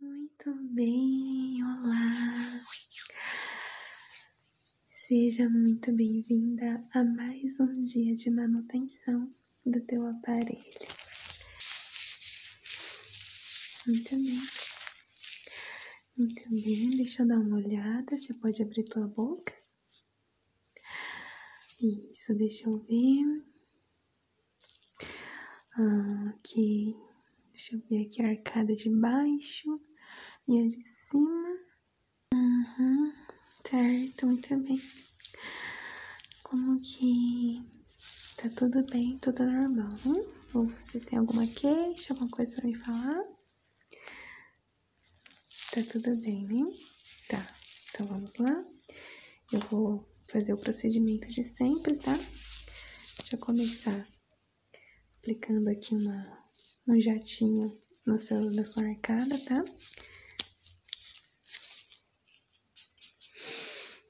Muito bem, olá! Seja muito bem-vinda a mais um dia de manutenção do teu aparelho. Muito bem. Muito bem, deixa eu dar uma olhada. Você pode abrir tua boca? Isso, deixa eu ver. Ah, ok, deixa eu ver aqui a arcada de baixo e a de cima. Uhum, certo, muito bem. Como que tá tudo bem, tudo normal, Ou você tem alguma queixa, alguma coisa para me falar? Tá tudo bem, né? Tá, então vamos lá. Eu vou fazer o procedimento de sempre, tá? Deixa eu começar aplicando aqui uma, um jatinho no seu, na sua arcada, tá?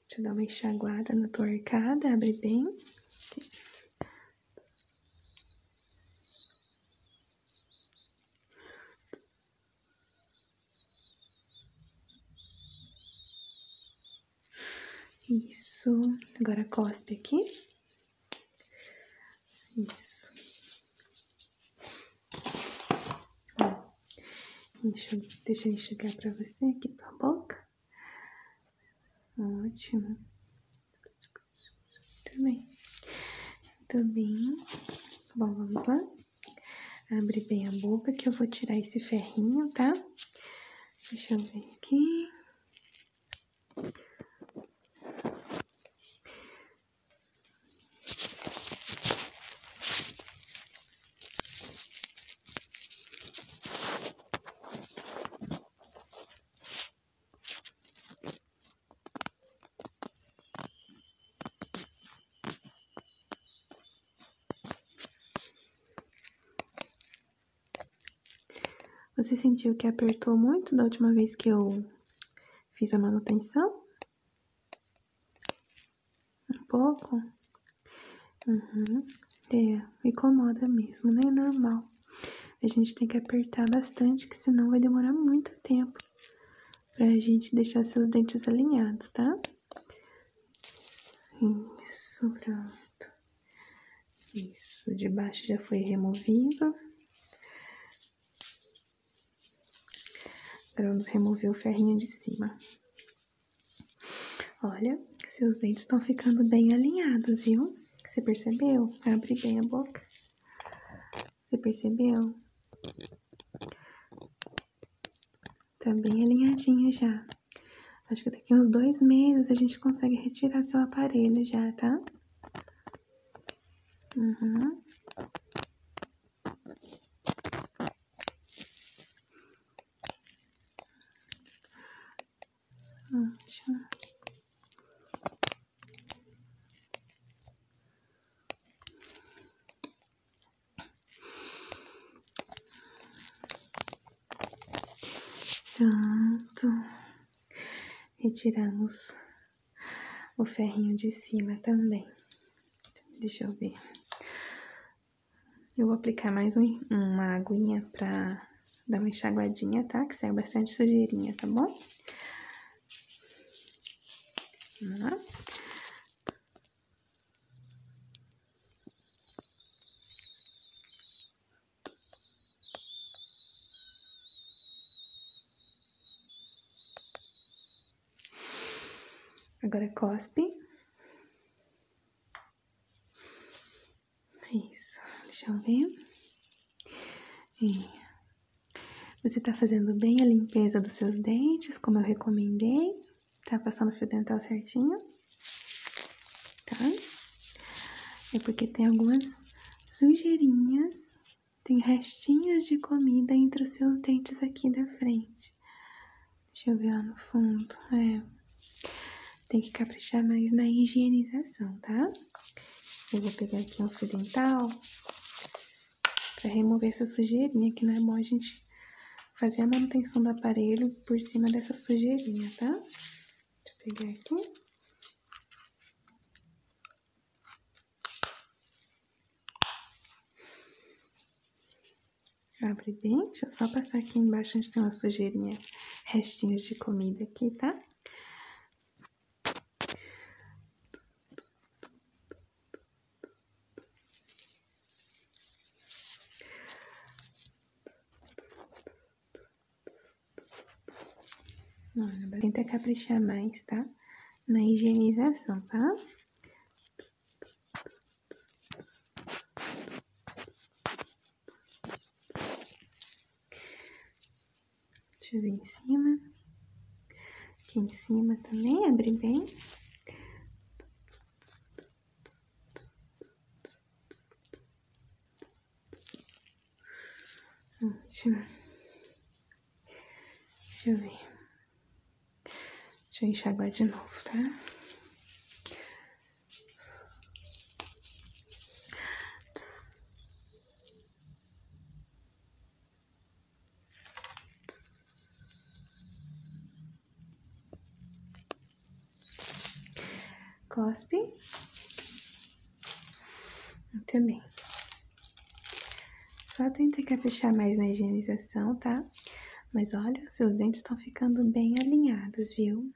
Deixa eu dar uma enxaguada na tua arcada, abre bem. Isso. Agora cospe aqui. Isso. deixa eu enxugar pra você aqui com a boca. Ótimo. Muito bem. Muito bem. Bom, vamos lá. Abre bem a boca que eu vou tirar esse ferrinho, tá? Deixa eu ver aqui. Você sentiu que apertou muito da última vez que eu fiz a manutenção? Um pouco? Uhum. É, incomoda mesmo, né? É normal. A gente tem que apertar bastante, que senão vai demorar muito tempo pra gente deixar seus dentes alinhados, tá? Isso, pronto. Isso, de baixo já foi removido. Agora vamos remover o ferrinho de cima. Olha, seus dentes estão ficando bem alinhados, viu? Você percebeu? Abre bem a boca. Você percebeu? Tá bem alinhadinho já. Acho que daqui uns dois meses a gente consegue retirar seu aparelho já, tá? Uhum. Pronto. Retiramos o ferrinho de cima também. Deixa eu ver. Eu vou aplicar mais uma aguinha pra dar uma enxaguadinha, tá? Que sai bastante sujeirinha, tá bom? Tá? Agora cospe. É isso, deixa eu ver. você está fazendo bem a limpeza dos seus dentes, como eu recomendei. Tá passando fio dental certinho, tá? É porque tem algumas sujeirinhas, tem restinhos de comida entre os seus dentes aqui da frente. Deixa eu ver lá no fundo, é. Tem que caprichar mais na higienização, tá? Eu vou pegar aqui um fio dental pra remover essa sujeirinha, que não é bom a gente fazer a manutenção do aparelho por cima dessa sujeirinha, tá? Deixa eu pegar aqui. Abre bem, deixa eu só passar aqui embaixo onde tem uma sujeirinha, restinhos de comida aqui, tá? tenta caprichar mais, tá? Na higienização, tá? Deixa em cima. Aqui em cima também, abre bem. Ótimo. Deixa eu ver. Deixa eu enxaguar de novo, tá? Cospe. Muito bem. Só que caprichar é mais na higienização, tá? Mas olha, seus dentes estão ficando bem alinhados, viu?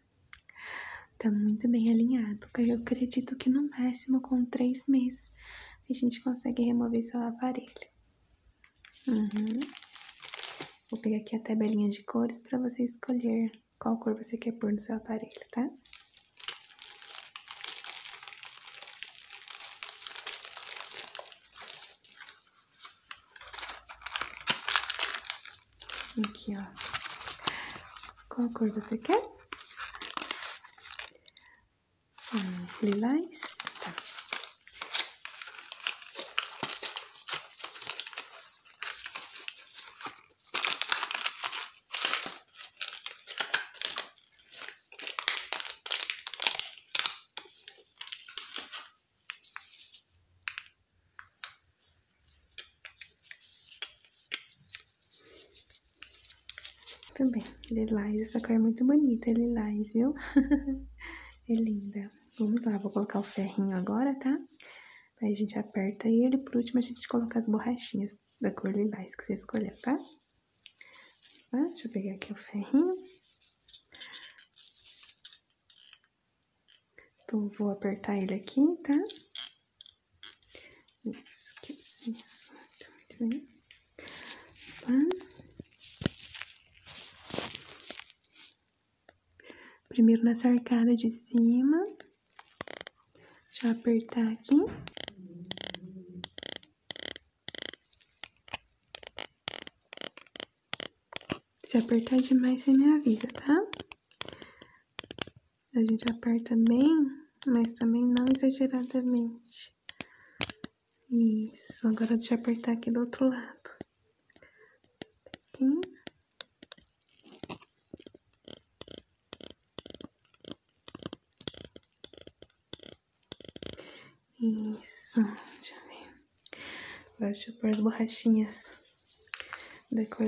Tá muito bem alinhado. Eu acredito que no máximo com três meses a gente consegue remover seu aparelho. Uhum. Vou pegar aqui a tabelinha de cores para você escolher qual cor você quer pôr no seu aparelho, tá? Aqui, ó. Qual cor você quer? Hum, lilás? Tá. Também, lilás, essa cor é muito bonita, é lilás, viu? É linda. Vamos lá, vou colocar o ferrinho agora, tá? Aí a gente aperta ele, por último a gente coloca as borrachinhas da cor lilás que você escolheu, tá? tá? Deixa eu pegar aqui o ferrinho. Então, vou apertar ele aqui, tá? Isso, aqui, isso, muito bem. Tá. Primeiro nessa arcada de cima. Deixa eu apertar aqui. Se apertar demais, você minha vida, tá? A gente aperta bem, mas também não exageradamente. Isso, agora deixa eu apertar aqui do outro lado. Isso, deixa eu ver. Agora deixa eu pôr as borrachinhas da cor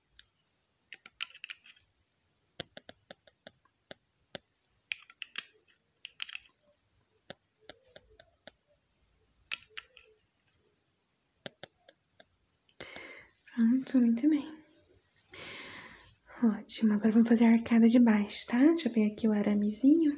Pronto, ah, muito bem. Ótimo, agora vamos fazer a arcada de baixo, tá? Deixa eu pegar aqui o aramezinho.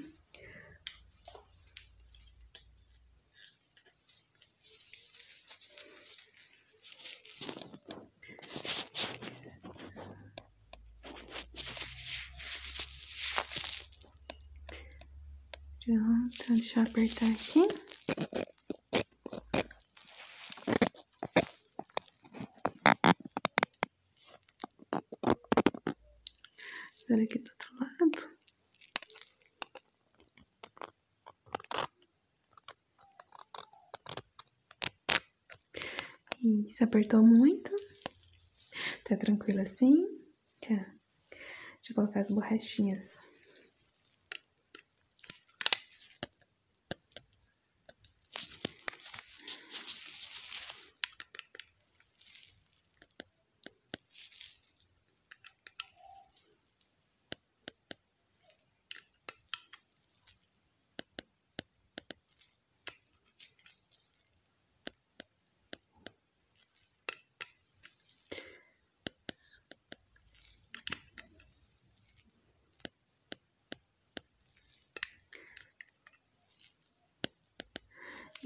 Pronto, deixa apertar aqui. Agora aqui do outro lado. Isso, apertou muito. Tá tranquilo assim? Tá. Deixa colocar as borrachinhas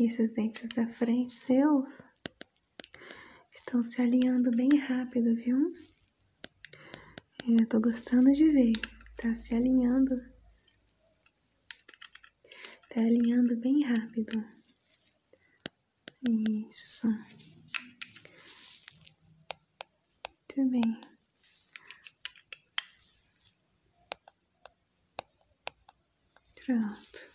esses dentes da frente seus Estão se alinhando bem rápido, viu? É, eu tô gostando de ver, tá se alinhando. Tá alinhando bem rápido. Isso. Muito bem. Pronto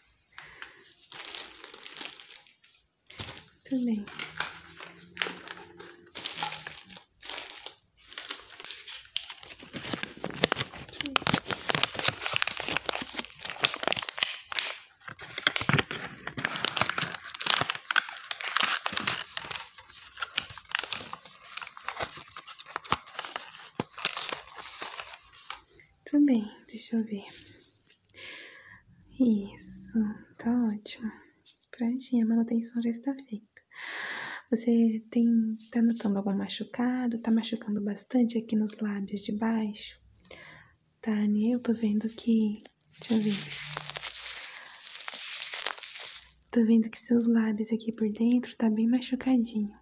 também. Também, deixa eu ver. Isso, tá ótimo. Prontinho, a manutenção já está feita. Você tem, tá notando algum machucado? Tá machucando bastante aqui nos lábios de baixo? Tá, Eu tô vendo que. Deixa eu ver. Tô vendo que seus lábios aqui por dentro tá bem machucadinho.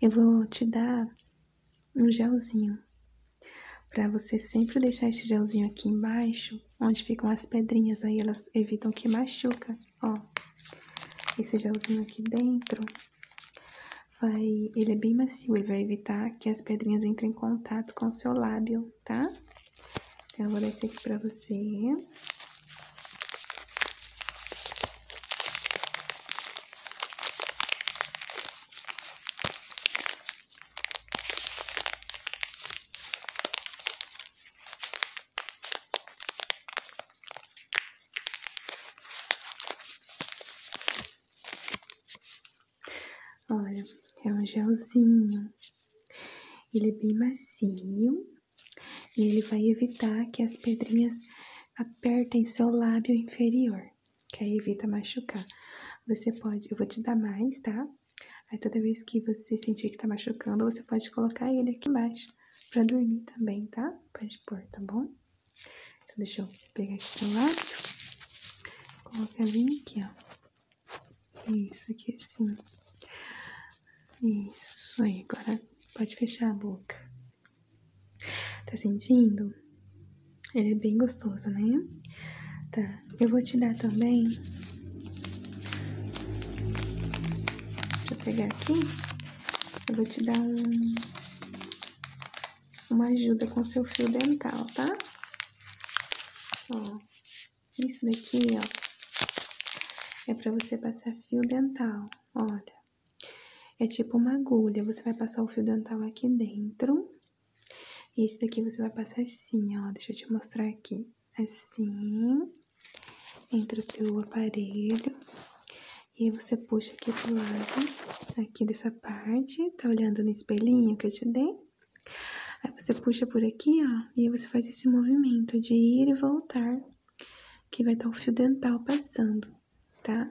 Eu vou te dar um gelzinho. Para você sempre deixar esse gelzinho aqui embaixo, onde ficam as pedrinhas, aí elas evitam que machuca, ó. Esse gelzinho aqui dentro, vai, ele é bem macio, ele vai evitar que as pedrinhas entrem em contato com o seu lábio, tá? Então, eu vou descer aqui pra você. Olha, é um gelzinho. Ele é bem macio e ele vai evitar que as pedrinhas apertem seu lábio inferior que aí evita machucar. Você pode, eu vou te dar mais, tá? Aí toda vez que você sentir que tá machucando, você pode colocar ele aqui embaixo pra dormir também, tá? Pode pôr, tá bom? Então, deixa eu pegar aqui o celular, colocar bem aqui, ó. Isso aqui assim. Isso aí, agora pode fechar a boca. Tá sentindo? Ele é bem gostoso, né? Tá, eu vou te dar também. Deixa eu pegar aqui. Eu vou te dar um uma ajuda com seu fio dental, tá? Ó, isso daqui, ó, é pra você passar fio dental, olha. É tipo uma agulha, você vai passar o fio dental aqui dentro, e esse daqui você vai passar assim, ó. Deixa eu te mostrar aqui. Assim. Entre o seu aparelho. E aí você puxa aqui pro lado. Aqui dessa parte. Tá olhando no espelhinho que eu te dei? Aí você puxa por aqui, ó. E aí você faz esse movimento de ir e voltar. Que vai estar o fio dental passando tá?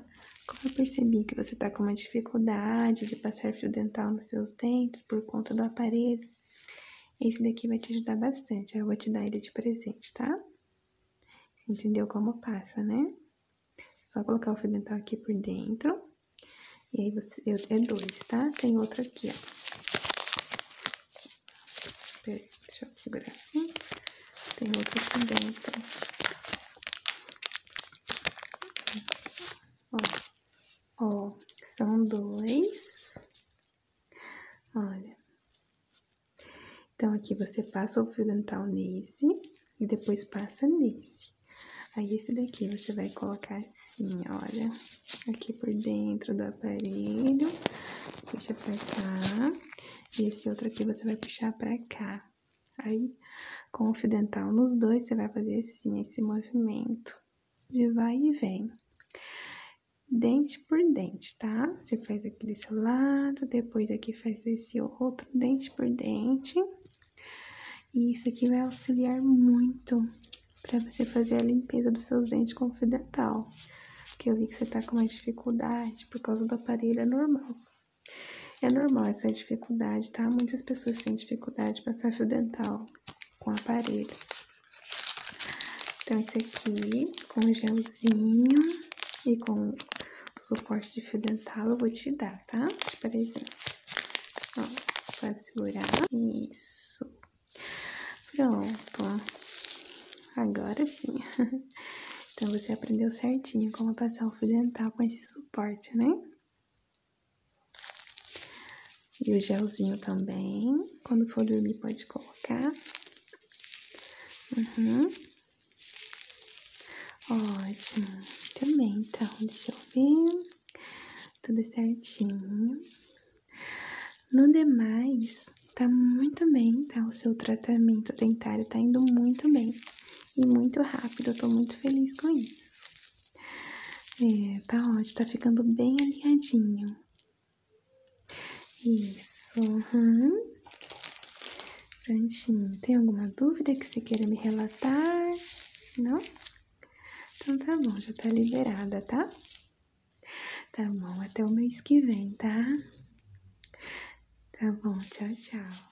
Como eu percebi que você tá com uma dificuldade de passar fio dental nos seus dentes por conta do aparelho, esse daqui vai te ajudar bastante. Eu vou te dar ele de presente, tá? entendeu como passa, né? Só colocar o fio dental aqui por dentro. E aí você. Eu, é dois, tá? Tem outro aqui, ó. Peraí, deixa eu segurar assim. Tem outro aqui dentro. Ó, são dois. Olha. Então, aqui você passa o fio dental nesse e depois passa nesse. Aí, esse daqui você vai colocar assim, olha, aqui por dentro do aparelho, puxa pra cá, e esse outro aqui você vai puxar pra cá. Aí, confidencial, nos dois, você vai fazer assim, esse movimento de vai e vem. Dente por dente, tá? Você faz aqui desse lado, depois aqui faz esse outro, dente por dente. E isso aqui vai auxiliar muito para você fazer a limpeza dos seus dentes confidencial, Porque eu vi que você tá com uma dificuldade por causa do aparelho, é normal. É normal essa dificuldade, tá? Muitas pessoas têm dificuldade de passar fio dental com aparelho. Então, esse aqui, com gelzinho e com suporte de fio dental, eu vou te dar, tá? De presente. Ó, pra segurar. Isso. Pronto. Agora sim. Então, você aprendeu certinho como passar o fio dental com esse suporte suporte, né? E o gelzinho também. Quando for dormir, pode colocar. Uhum. Ótimo. Também, então, deixa eu ver. Tudo certinho. No demais, tá muito bem, tá? O seu tratamento dentário tá indo muito bem e muito rápido. Eu tô muito feliz com isso. É, tá ótimo, tá ficando bem alinhadinho. Isso, uhum. Prontinho. Tem alguma dúvida que você queira me relatar? Não? Então tá bom, já tá liberada, tá? Tá bom, até o mês que vem, tá? Tá bom, tchau, tchau.